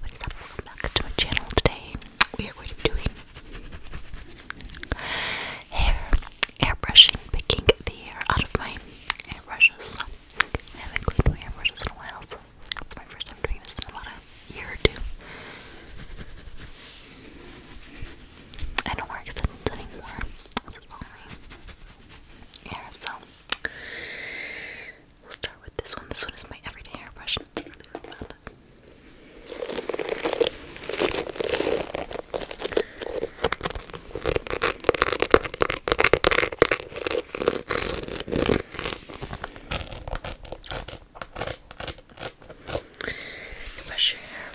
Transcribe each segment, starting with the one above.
Welcome back to my channel. Today we are going to be doing hair, airbrushing, picking the hair out of my airbrushes. haven't cleaned my airbrushes in a while, so it's my first time doing this in about a year or two. I don't wear extensions anymore. This so We'll start with this one. This one is my everyday hairbrush, and it's really, really Brush your hair.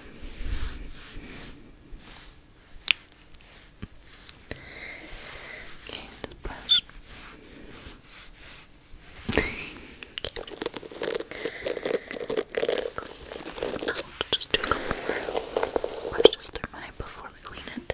brush. Clean Just do a couple brushes through mine before we clean it.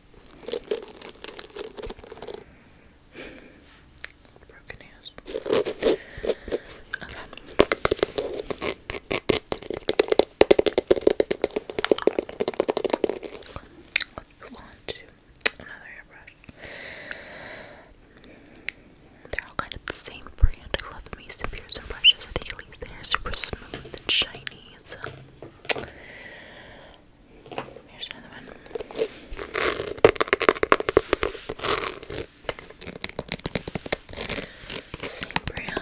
Broken ears. Okay. Let's move on to another airbrush. They're all kind of the same brand. I love Mason Pearson brushes. I think super smooth and shiny. Here's another one. Same brand.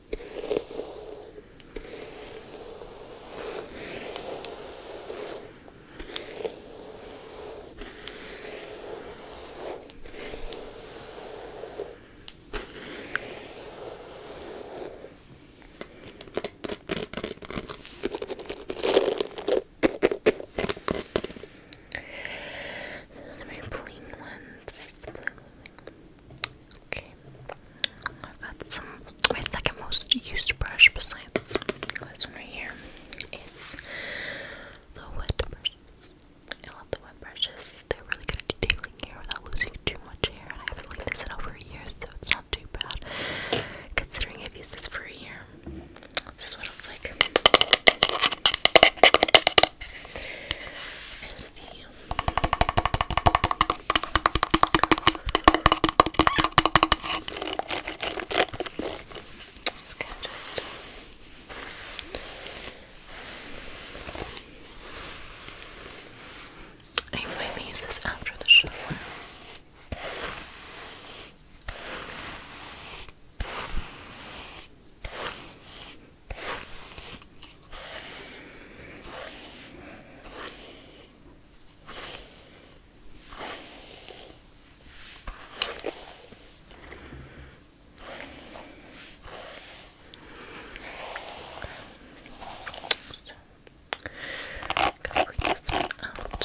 Those are my bling ones. Bling, bling, bling. Okay, I've got some. My second most used brush, besides this one right here, is the wet brushes. I love the wet brushes. They're really good at detailing hair without losing too much hair. And I haven't like this in over a year, so it's not too bad. Considering I've used this for a year, this is what it's like. Just gonna just I might use this after the shower. I'm going to clean this one out. Okay.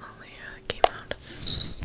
Only uh, came out of this.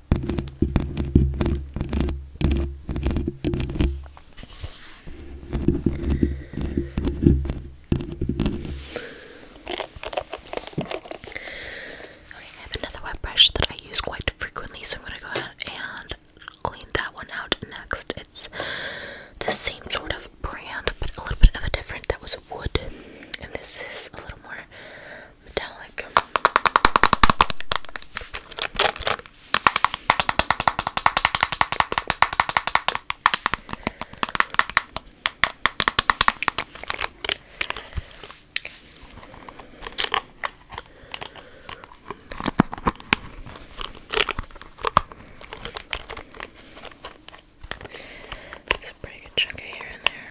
Okay, I have another wet brush that I use quite frequently, so I'm going to go ahead and clean that one out next. It's the same sort of brand, but a little bit of a different. That was wood, and this is a little more metallic. There's a pretty good chunk there.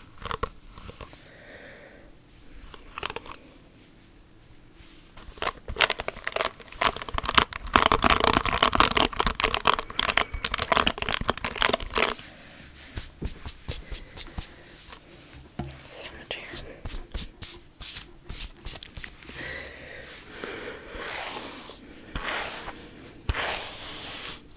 So much hair.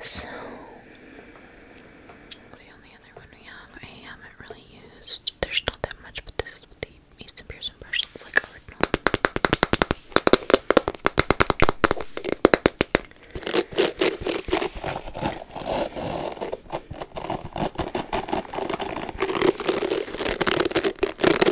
So, the only other one we have, I haven't really used. There's not that much, but this is the Easton Pearson brush. It's like original.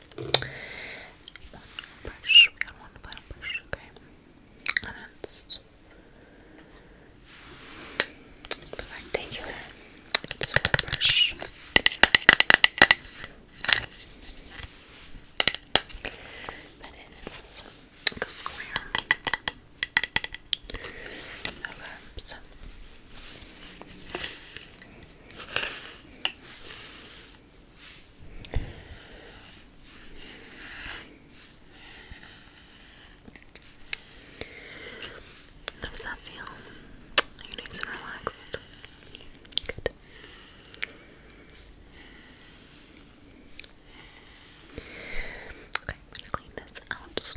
One brush. We got one final brush. Okay. And it's the rectangular. It's a brush. it's a square. Okay, how does that feel? Are you nice relaxed? Good. Okay, I'm gonna clean this out.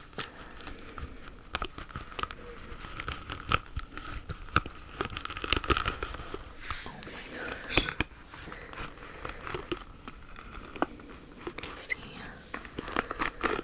Oh my gosh. Let's see. Um,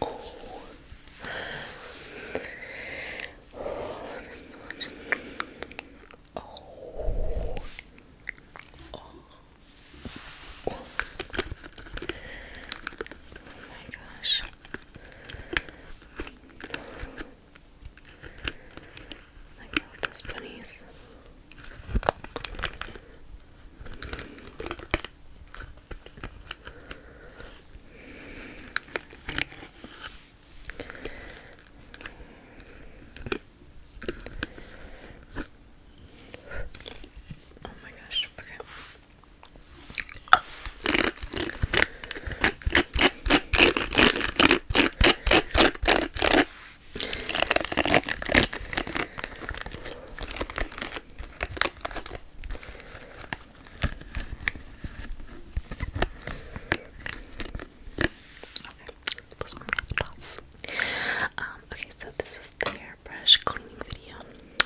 Oh, oh, oh. my gosh. Like that those bunnies. Oh my gosh, okay okay, so this was the hairbrush cleaning video.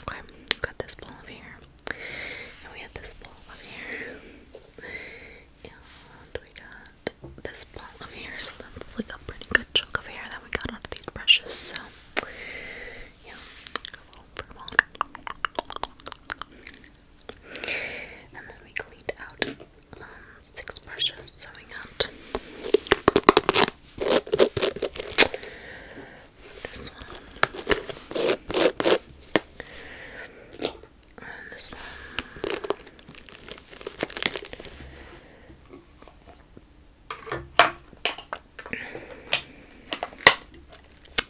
Okay, we got this ball over here. And we had this ball over here. And we got this ball of hair, so that's like a pretty good chunk of hair that we got out of these brushes. So, yeah, And then we cleaned out um, six brushes, so we this one, and this one.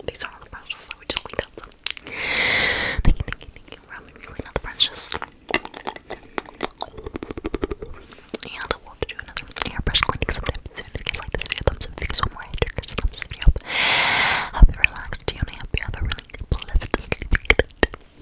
These are all the brushes that we just cleaned out, so thank you, thank you, thank brushes. And we to do another hairbrush cleaning sometime If you guys like this video, thumbs up. If you guys want more hair thumbs up. Hope relaxed, you you have a really pleasant sleep.